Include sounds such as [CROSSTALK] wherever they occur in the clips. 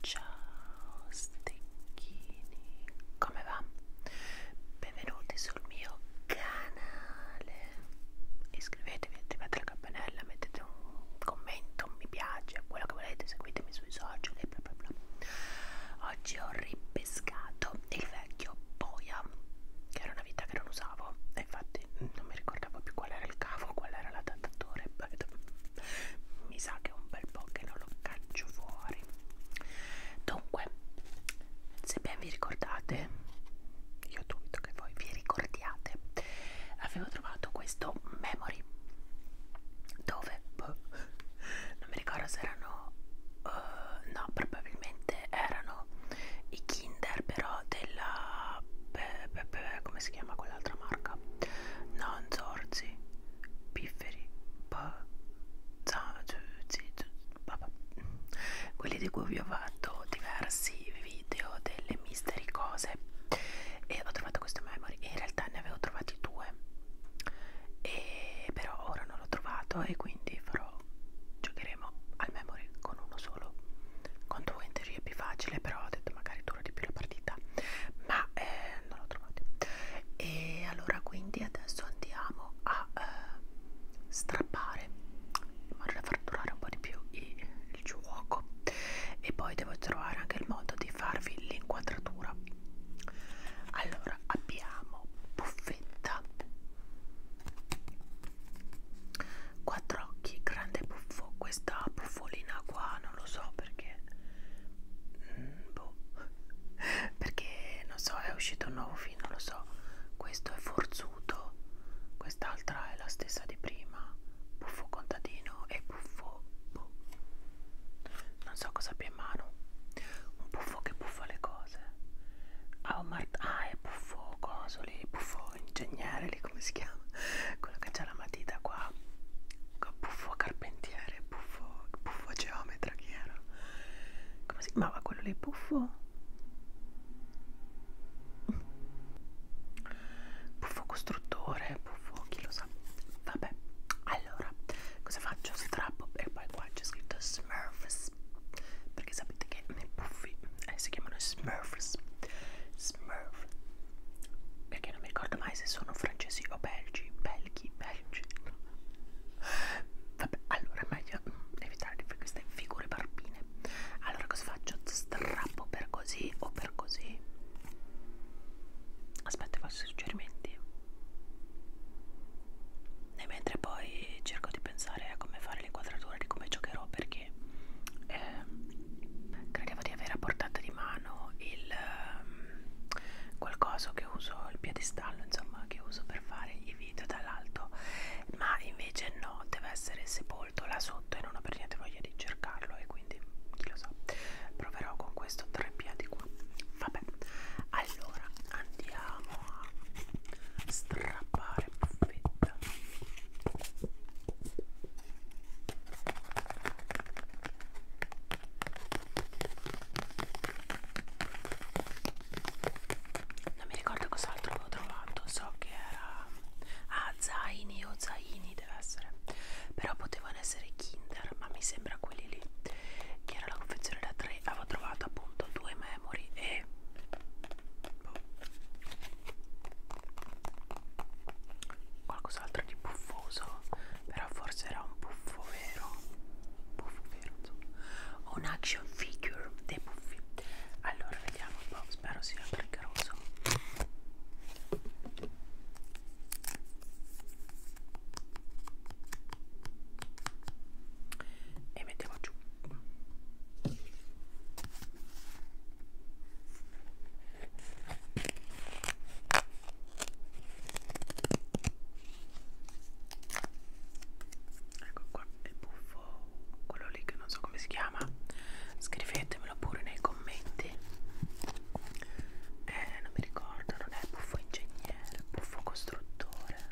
Ciao stecchini, come va? Benvenuti sul mio canale. Iscrivetevi, attivate la campanella, mettete un commento non mi piace, quello che volete, seguitemi sui social e bla bla bla. Oggi ho ripescato il vecchio Boia, che era una vita che non usavo, e infatti non mi ricordavo più qual era il cavo, qual era l'adattatore. [LAUGHS] Mi sa che è un bel po' che non lo caccio fuori. Dunque, se ben vi ricordate, io dubito che voi vi ricordiate avevo trovato questo memory dove boh, non mi ricordo se erano uh, no probabilmente erano i kinder però della beh, beh, beh, come si chiama quell'altra marca non zorzi pifferi boh, zorzi, zorzi, quelli di cui vi ho fatto diversi video delle misteri cose e ho trovato questo memory e in realtà ne avevo trovati due e però ora non l'ho trovato e quindi farò giocheremo al memory con uno solo con due in teoria è più facile però ho detto magari dura di più la partita ma eh, non l'ho trovato e allora quindi adesso andiamo a eh, strappare in modo da far durare un po' di più il, il gioco e poi devo trovare anche il modo di farvi l'inquadratura allora abbiamo buffetta quattro occhi grande buffo questa buffolina qua non lo so perché mm, boh. [LAUGHS] perché non so è uscito un nuovo film non lo so questo è Forza piaciuto quest'altra è la stessa di prima buffo contadino e buffo bu. Boh. non so cosa abbia in mano un buffo che buffa le cose ah, ah è buffo coso lì buffo ingegnere lì come si chiama [LAUGHS] quello che c'ha la matita qua buffo carpentiere buffo buffo geometra chi era come si chiamava quello lì buffo Puffo costruttore, puffo chi lo sa. Vabbè, allora cosa faccio? Strappo e poi qua c'è scritto Smurfs. Perché sapete che nei puffi eh, si chiamano Smurfs. Smurf. Perché non mi ricordo mai se sono francesi o belgi. Belgi, belgi. Vabbè, allora meglio per [LAUGHS] evitare queste figure barbine allora cosa faccio? strappo per così o per così? aspetto i vostri suggerimenti e mentre poi cerco di pensare a come fare l'inquadratura di come giocherò perché eh, credevo di avere a portata di mano il um, ehm, qualcosa che uso il piedistallo insomma che uso per per fare i video dall'alto ma invece no deve essere sepolto là sotto e non ho per niente voglia di cercarlo e quindi chi lo sa proverò con questo tre piedi qua vabbè allora andiamo a strappare buffetta non mi ricordo cos'altro avevo trovato so che era ah zaini o zaini deve essere però potevano essere kinder ma mi sembra quelli lì che era la confezione da 3 avevo trovato appunto due memory e boh. qualcos'altro di puffoso però forse era un puffo vero puffo vero insomma un action figure dei puffi allora vediamo un po' spero sia precaroso e mettiamo giù Ecco qua il buffo, quello lì che non so come si chiama. Scrivetemelo pure nei commenti. Eh, non mi ricordo, non è buffo ingegnere, buffo costruttore,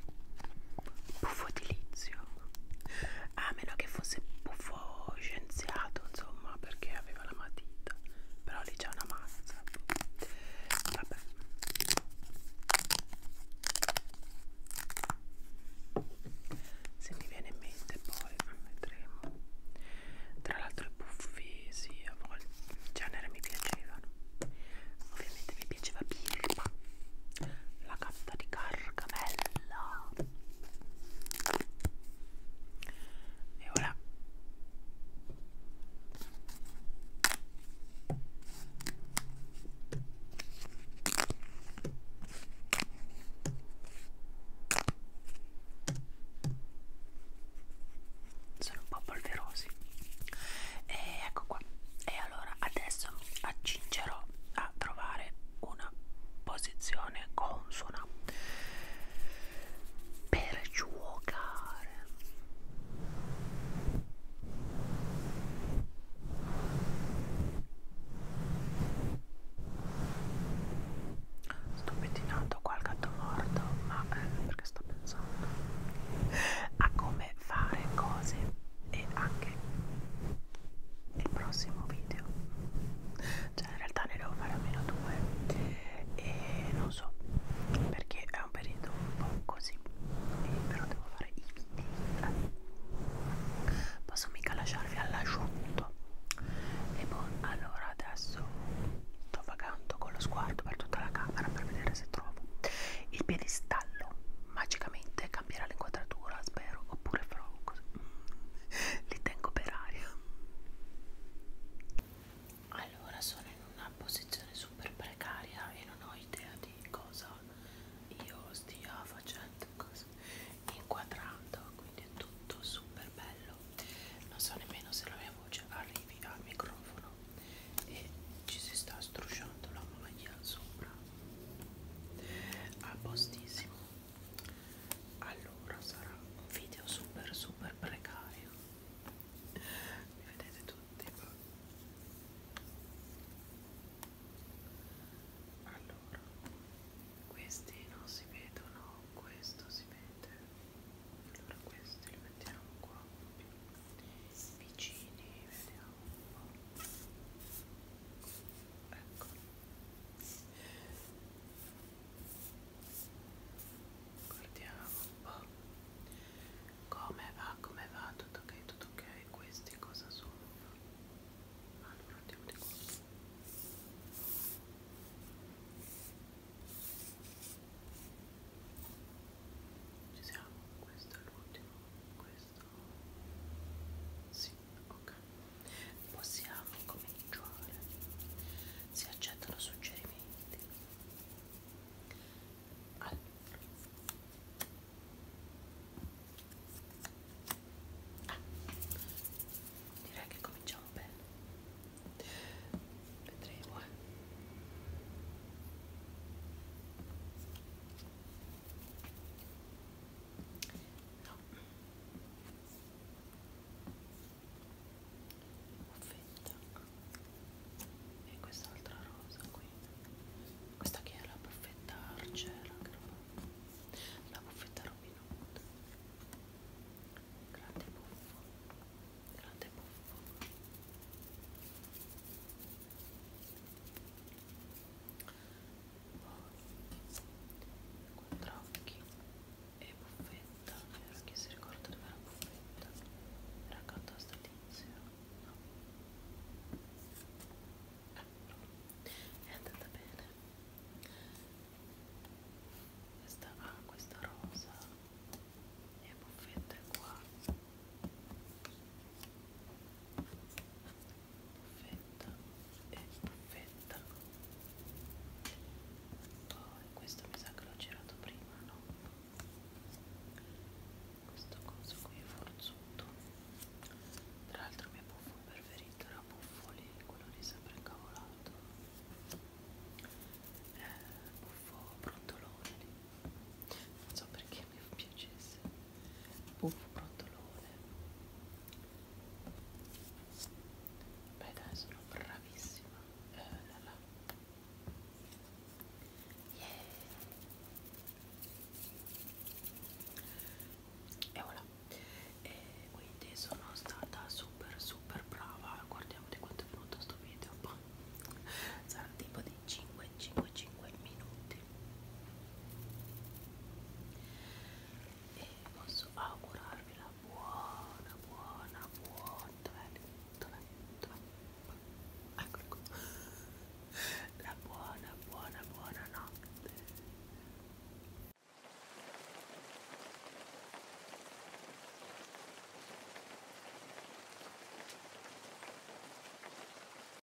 buffo edilizio. A meno che fosse buffo scienziato, insomma, perché aveva la matita. Però lì c'è una mazza. Vabbè se mi viene in mente poi vedremo tra l'altro i puffi sì a volte in genere mi piacevano ovviamente mi piaceva Birba la carta di Cargamella e ora sono un po' polverosi e ecco qua e allora adesso accingerò a trovare una posizione consona per giocare colore sto pettinando qua il gatto morto ma eh, perché sto pensando a come fare cose e anche il prossimo video cioè in realtà ne devo fare almeno due e non so perché è un periodo un po' così e però devo fare i video posso mica lasciarvi all'asciutto e boh allora adesso sto vagando con lo sguardo per tutta la camera per vedere se trovo il piedistallo magicamente cambierà l'inquadratura spero oppure farò così mm, li tengo per aria allora sono in una posizione super precaria e non ho idea di cosa io stia facendo, cosa inquadrando, quindi è tutto super bello. Non so nemmeno se la mia voce arrivi al microfono e ci si sta strusciando la maglia sopra. A postissimo. Allora sarà un video super super precario li vedete tutti qua allora questi non si vedono questo si vede allora questi li mettiamo qua vicini vediamo un po' ecco guardiamo un po' come va come va tutto ok tutto ok questi cosa sono allora ah, andiamo di qua ci siamo questo è l'ultimo questo sì ok Possiamo cominciare. Si accettano suggerimenti. Allora. Ah, direi che cominciamo bene. Vedremo, eh. No. Offetta e quest'altra rosa qui questa che è la buffetta argera la buffetta Robin Hood grande buffo grande buffo poi quattro occhi e buffetta era chi si ricorda dove era buffetta era accanto a sta tizia no eh, è andata bene questa ah questa rosa e buffetta è qua buffetta e buffetta poi questo mi sa che l'ho girato prima no questo coso qui è forzuto tra l'altro il mio buffo preferito era buffoli quello lì sempre incavolato eh, buffo brontolone lì non so perché mi piacesse buffo brontolone beh dai sono bravissima eh, là, là. Yeah. e voilà e quindi sono stata super super brava guardiamo di quanto è venuto sto video [LAUGHS] sarà tipo di 5 5 5 minuti e posso augurarvi la buona buona buona dov'è? dov'è? dov'è? eccolo ecco. qua la buona buona buona notte